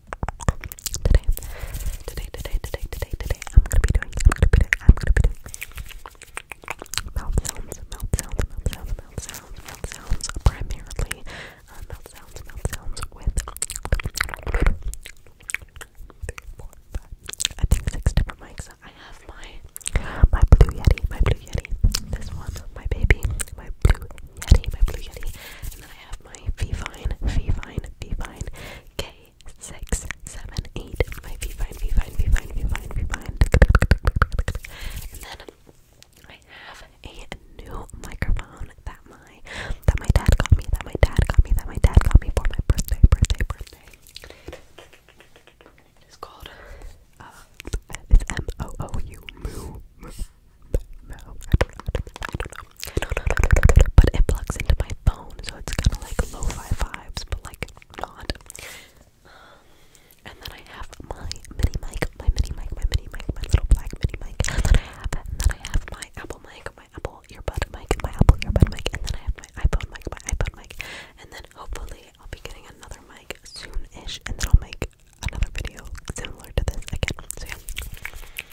Today, today, today, today, today, today, I'm gonna be doing, I'm gonna be doing, I'm gonna be doing mouth sounds, mouth sounds, mouth sounds, mouth sounds, mouth sounds, primarily uh, mouth sounds, mouth sounds with three, four, five, I think six different mics. I have my my blue yeti, my blue yeti, this one, my baby, my blue yeti, my blue yeti, and then I have my Fivine, Fivine, Fivine K678, my Fivine, Fivine, Fivine, Fivine, Fivine. And then I have a new microphone that my that my dad got me, that my dad got me, that my dad got me for my birthday, birthday, birthday. It's called uh, it's M O O U Moo. Moo. Moo. I don't know. I don't know. I don't know but it plugs into my phone, so it's kind of like low fi vibes, but like not. and then I have my mini mic, my mini mic, my mini mic, my little black mini mic. And then I have, and then I have my Apple mic, my Apple earbud mic, my Apple earbud mic, and then I have my iPod mic, my iPod mic, and then hopefully I'll be getting another mic soon-ish, and then I'll make another video similar to this again. So yeah.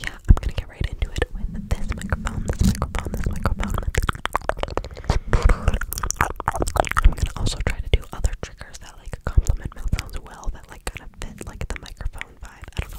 Yeah, I'm gonna get right into it with this microphone, this microphone, this microphone. I'm gonna also try to do other triggers that like complement mouth sounds well, that like kind of fit like the microphone vibe. I don't know.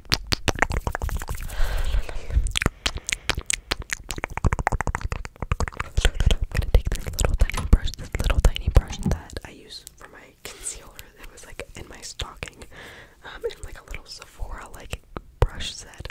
gonna take this little tiny brush, this little tiny brush that I use for my concealer. It was like in my stocking, um, and like a little Sephora like brush set.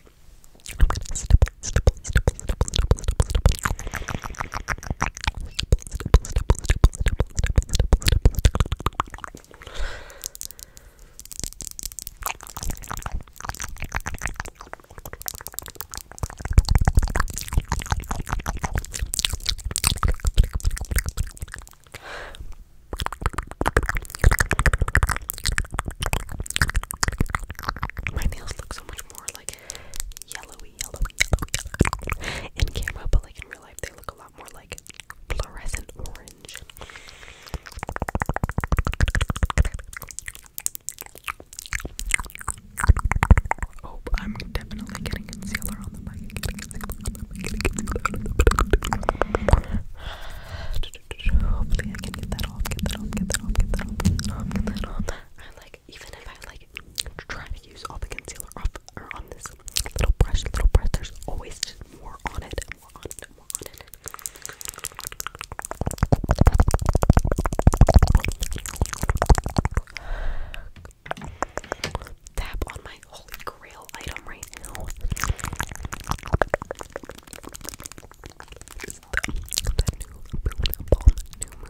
My nails look so much more like yellowy, yellowy, yellowy, yellow in camera, but like in real life, they look a lot more like fluorescent orange. Oh, I'm definitely getting concealer on the mic. Hopefully, I can get that off. Get that off. Get that off. Get that off. Get that off. that off. I like even if I like try to use all the concealer off or on this little brush, little brush. There's always more on it bit more on it, more on it. Tap on my holy grail item right now. It's the, the new moon balm, new moon.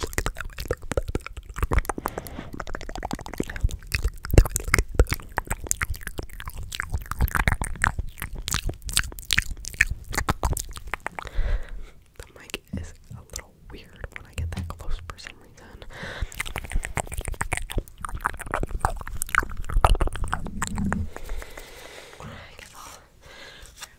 Look that way. Look that way. The mic is a little weird when I get that close for some reason. I guess I'll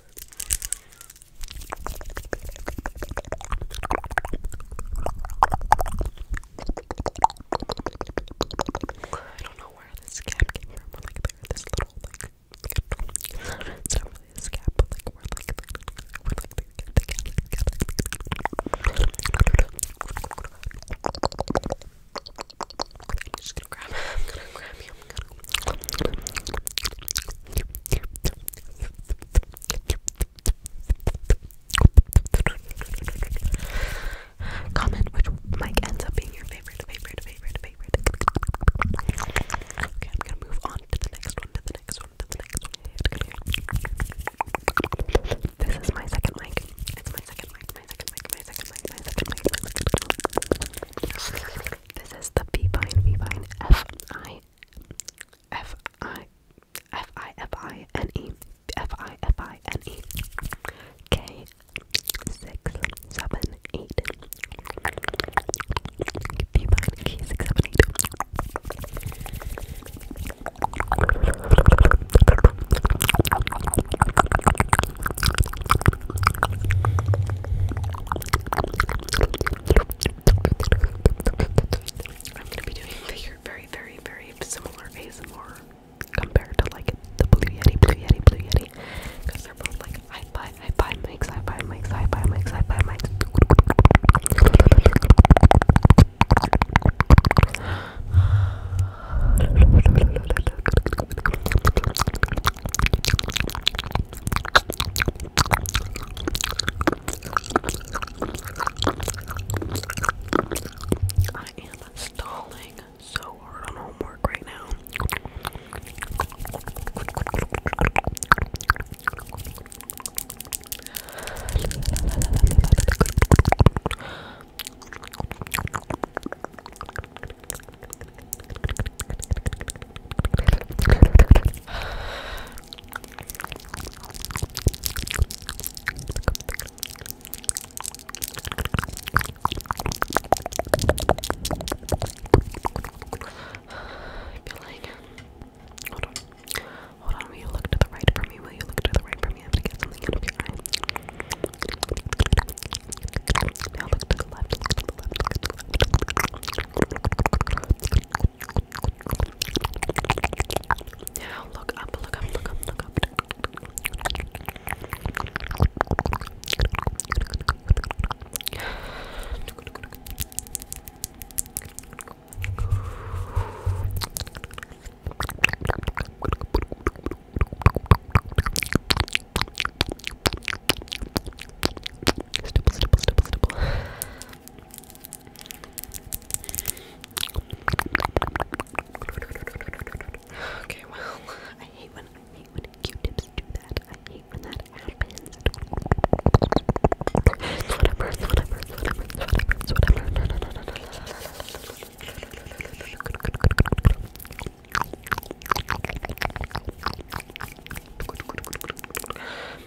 I don't know where this scab came from, but like they're this little like it's not really a scab, but like we're like we're like they get together, together. I'm just gonna grab I'm gonna grab you, I'm gonna Comment which mic ends up being your favorite, favorite, favorite, favorite. Okay, I'm gonna move on to the next one, to the next one, to the next one. This is my second mic. It's my my second mic, my second mic, my second mic. My second mic. This is the B B Vivine F I I F I F I F I N E F I F I N E K six seven eight B one K six seven eight I'm gonna be doing figure very, very, very similar ASMR compared to like the Blue Yeti, Blue Yeti, Blue Yeti, because they're both like hi-fi, hi-fi mics, hi-fi mics, hi-fi mics, hi-fi mics. I am stalling so hard on homework right now. I feel like hold on. Hold on, will you look to the right for me? Will you look to the right for me? I'm gonna get something out of your eye. Now look to the left, look to the left, look to the left. Now look up, look up, look up, look up. Stipple, stipple, stipple, stipple. Okay, well, I hate when I hate when Q-tips do that. I hate when that happens. It's whatever, it's whatever, it's whatever, it's whatever, it's whatever. No, no, no, no, no, no, no, no, no, no,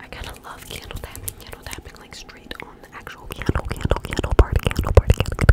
I kind of love candle tapping, candle tapping like straight on the actual candle, candle, candle part, candle part, candle, candle,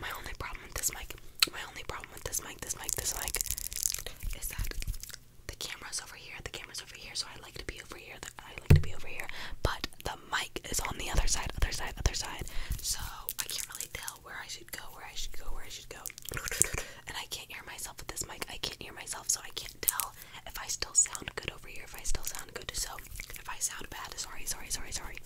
My only problem with this mic, my only problem with this mic, this mic, this mic, is that the camera's over here, the camera's over here, so I like to be over here, I like to be over here, but the mic is on the other side, other side, other side, so I can't really tell where I should go, where I should go, where I should go, and I can't hear myself with this mic, I can't hear myself, so I can't tell if I still sound good over here, if I still sound good. So if I sound bad, sorry, sorry, sorry, sorry.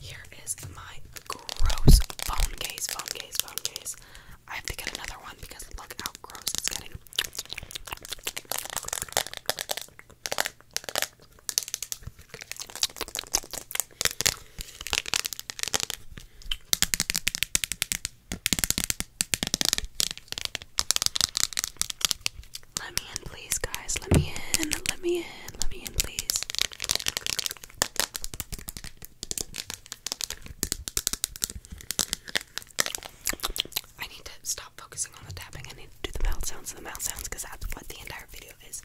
Here is my gross phone case, phone case, phone case. I have to get another one because look how gross it's getting. Let me in, please, guys. Let me in. Let me in. Let me in, please. I need to stop focusing on the tapping. I need to do the mouth sounds and the mouth sounds because that's what the entire video is.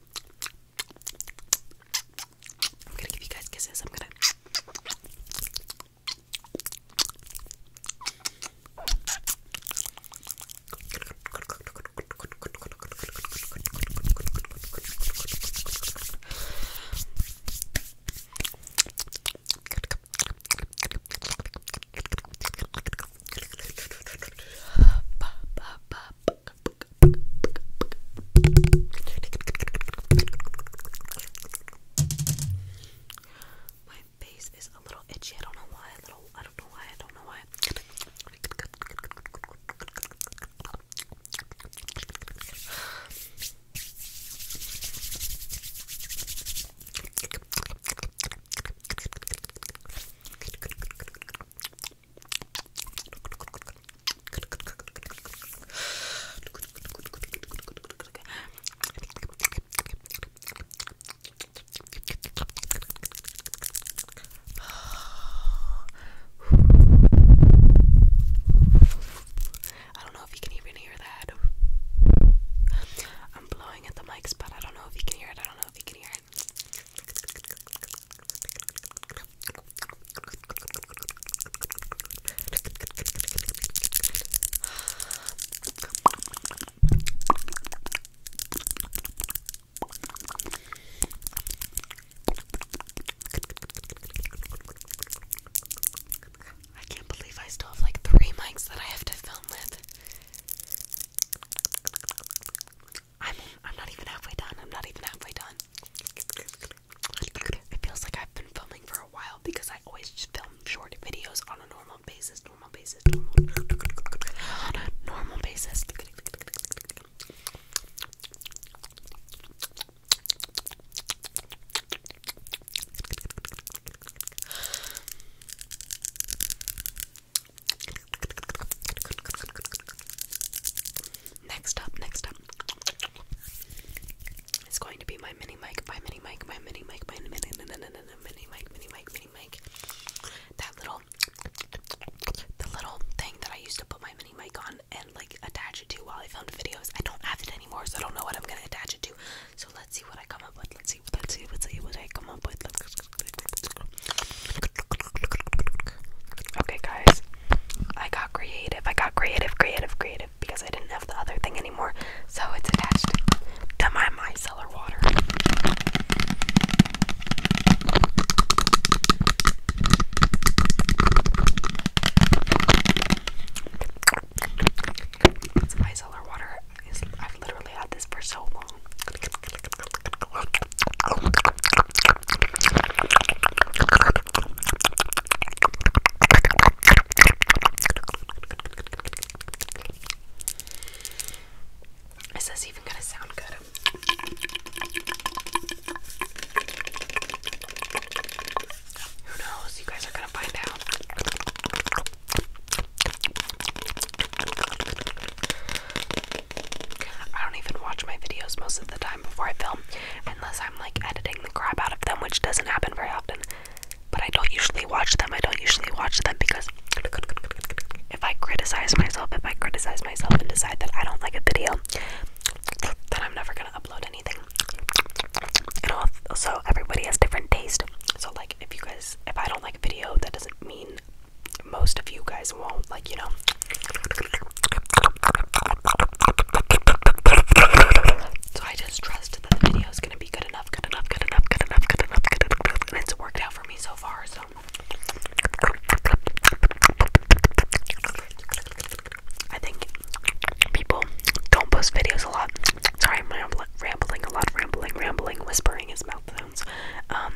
I'm gonna give you guys kisses. I'm gonna. My face is a little itchy. I don't know why. A little. I don't know why. I don't know why. I don't know if you can even hear that. I'm blowing at the mics, but I don't know if you can hear it. I don't know if you can hear I can't believe I still have like three mics that I have to film with. I'm I'm not even halfway done. I'm not even halfway done. It feels like I've been filming for a while because I always just film short videos on a normal basis, normal basis, normal normal basis. Next up, next up. It's going to be my mini mic, my mini mic, my mini mic, my mini mic, my mini mic, mini mic, mini mic. That little the little thing that I used to put my mini mic on and like attach it to while I filmed videos. I don't have it anymore, so I don't know what I'm gonna attach it to. So let's see what I come up with. Let's see let's see let's see what I come up with. Okay, guys, I got creative. I got creative, creative, creative because I didn't have the other thing anymore, so it's attached to my micellar water. micellar water. I've literally had this for so long. Is this even gonna sound good? Who knows? You guys are gonna find out. I don't even watch my videos most of the time before I film, unless I'm like editing the crap out of them, which doesn't happen very often. But I don't usually watch them. I don't usually watch them because if I criticize myself, if I criticize myself and decide that I don't like a video, then I'm never gonna upload anything. And also, everybody has different taste. So, like, if you guys, if I don't like a video, that doesn't mean most of you guys won't, like, you know. So I just trust that the video is gonna be good enough, good enough, good enough, good enough, good enough, good enough, and it's worked out for me so far. So I think people don't post videos a lot. Sorry, I'm rambling, rambling a lot, rambling, rambling, whispering is mouth sounds. Um,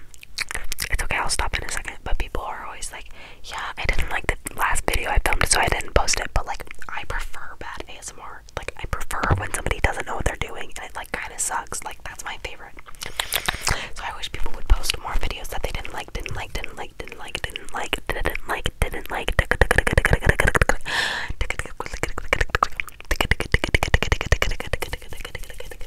it's okay, I'll stop in a second. But people are always like, yeah, I didn't like the last video I filmed, so I didn't post it. But like, I prefer bad ASMR. Like, I prefer when somebody doesn't know what they're doing and it like kind of sucks. Like, that's my favorite. So I wish people would post more videos that they didn't like, didn't like, didn't like, didn't like, didn't like, didn't like, didn't like.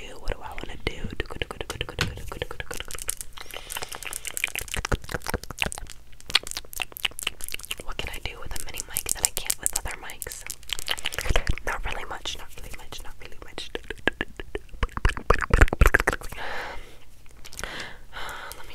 what do I want to do? What can I do with a mini mic that I can't with other mics? Not really much, not really much, not really much. Uh, let me.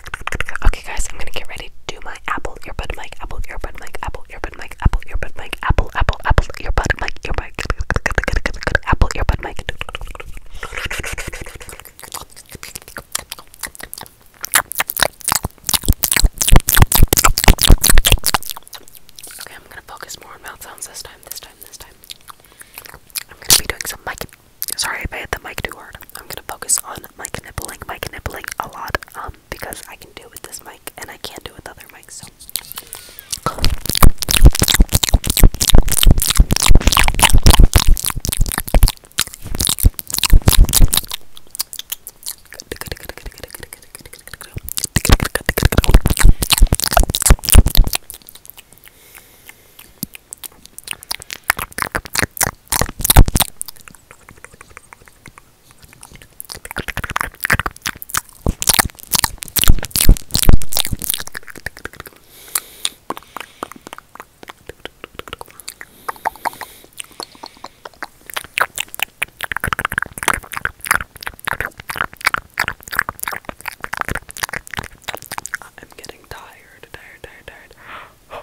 Okay, guys, I'm gonna get ready to do my Apple earbud mic, Apple earbud mic, Apple earbud mic, Apple earbud mic, Apple, Apple, Apple earbud mic, earbud, Apple earbud mic. Okay, I'm gonna focus more on mouth sounds this time, this time, this time. I'm gonna be doing some mic. Sorry if I hit the mic too hard. I'm gonna focus on mic nibbling, mic nibbling a lot. Um, because I can do it with this mic and I can't do it with other mics. I'm getting tired, tired, tired, tired.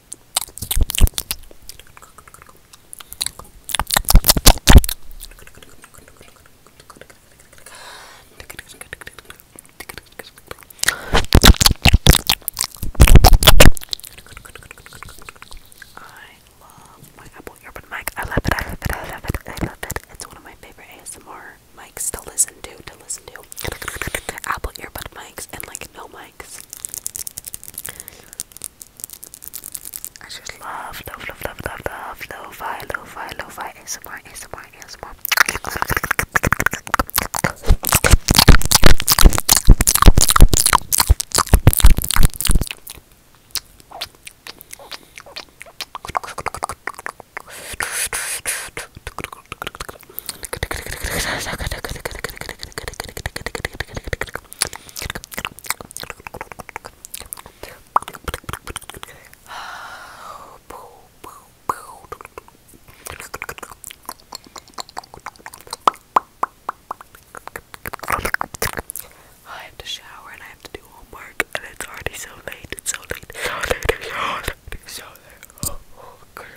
I love my Apple earbud mic. I love it. I love it. I love it. I love it. It's one of my favorite ASMR mics to listen to. To listen to Apple earbud mics and like no mics. I just love, love, love, love, love, love, lo-fi, lo-fi, lo-fi, ASMR, ASMR, ASMR. I have to shower and I have to do homework, and it's already so late. It's so late. So So late. Oh, oh,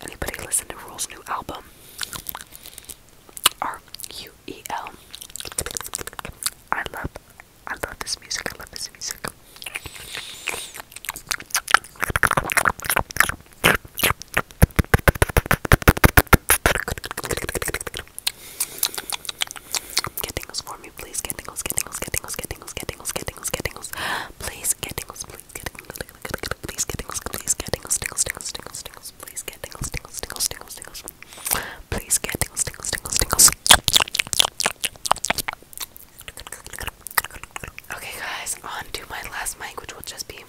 Anybody listen to Rule's new album? R U E L. I love I love this music. I love this music. Get tingles for me, please. Get tingles, get tingles, get tingles, get tingles, get tingles, get tingles, get tingles. Please, get tingles, get tingles, please, get tingles, please, get tingles, tingles, tingles, tingles, please get tingles, tingles, tingles, Please get tingles, tingles, tingles, tingles. Okay, guys, on to my last mic, which will just be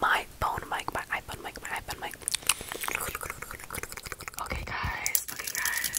my phone mic, my iPhone mic, my iPhone mic. Okay, guys, okay, guys.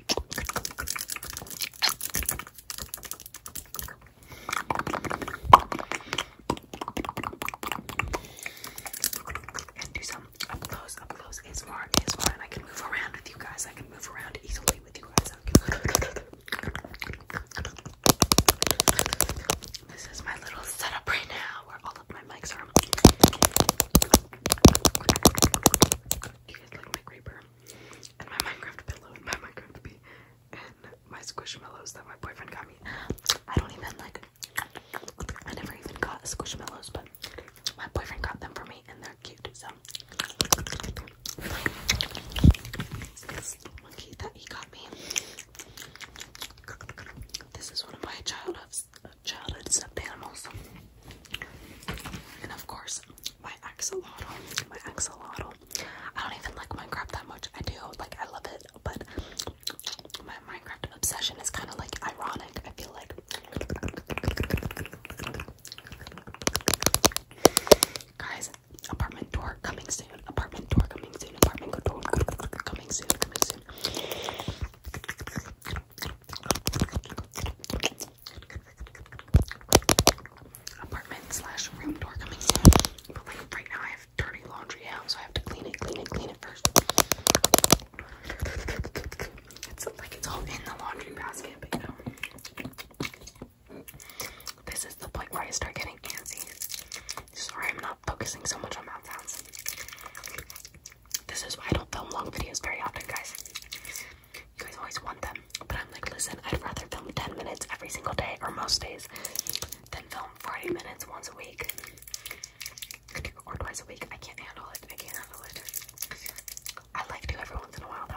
And do some up close, up close, is far, is far, and I can move around with you guys. I can move around easily with you guys. This is my little setup right now, where all of my my mics are. You guys like my creeper and my Minecraft pillow and my Minecraft bee and my squishmallows that my boyfriend got me. I don't even like. I never even got squishmallows, but my boyfriend got them for me and they're cute. So this monkey that he got me. This is one of my childhood childhood stuffed animals. And of course, my axolotl. My axolotl. I don't even like Minecraft that much. I do, like, I love it, but my Minecraft obsession is kind of like ironic. I feel like. Guys, apartment door coming soon. Apartment door coming soon. Apartment door Coming soon apartment slash room door coming in. But like right now I have dirty laundry out, so I have to clean it, clean it, clean it first. It's like it's all in the laundry basket, but you know. This is the point where I start getting antsy. Sorry I'm not focusing so much on mouth sounds. This is why I don't film long videos very often, guys. You guys always want them, but I'm like, listen, I'd rather film 10 minutes every single day or most days than film 40 minutes once a week or twice a week. I can't handle it. I can't handle it. I like to every once in a while, though.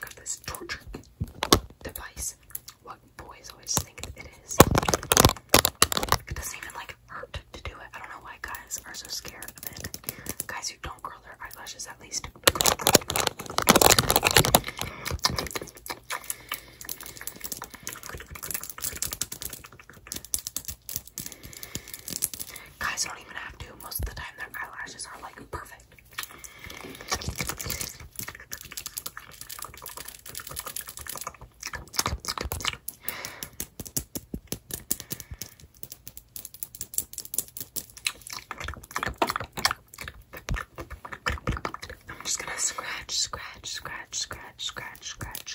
Got this torture device. What boys always think it is. It doesn't even like hurt to do it. I don't know why guys are so scared of it. Guys who don't curl their eyelashes at least. Guys don't even have to. Most of the time, their eyelashes are like perfect. I'm just gonna scratch, scratch, scratch, scratch, scratch, scratch.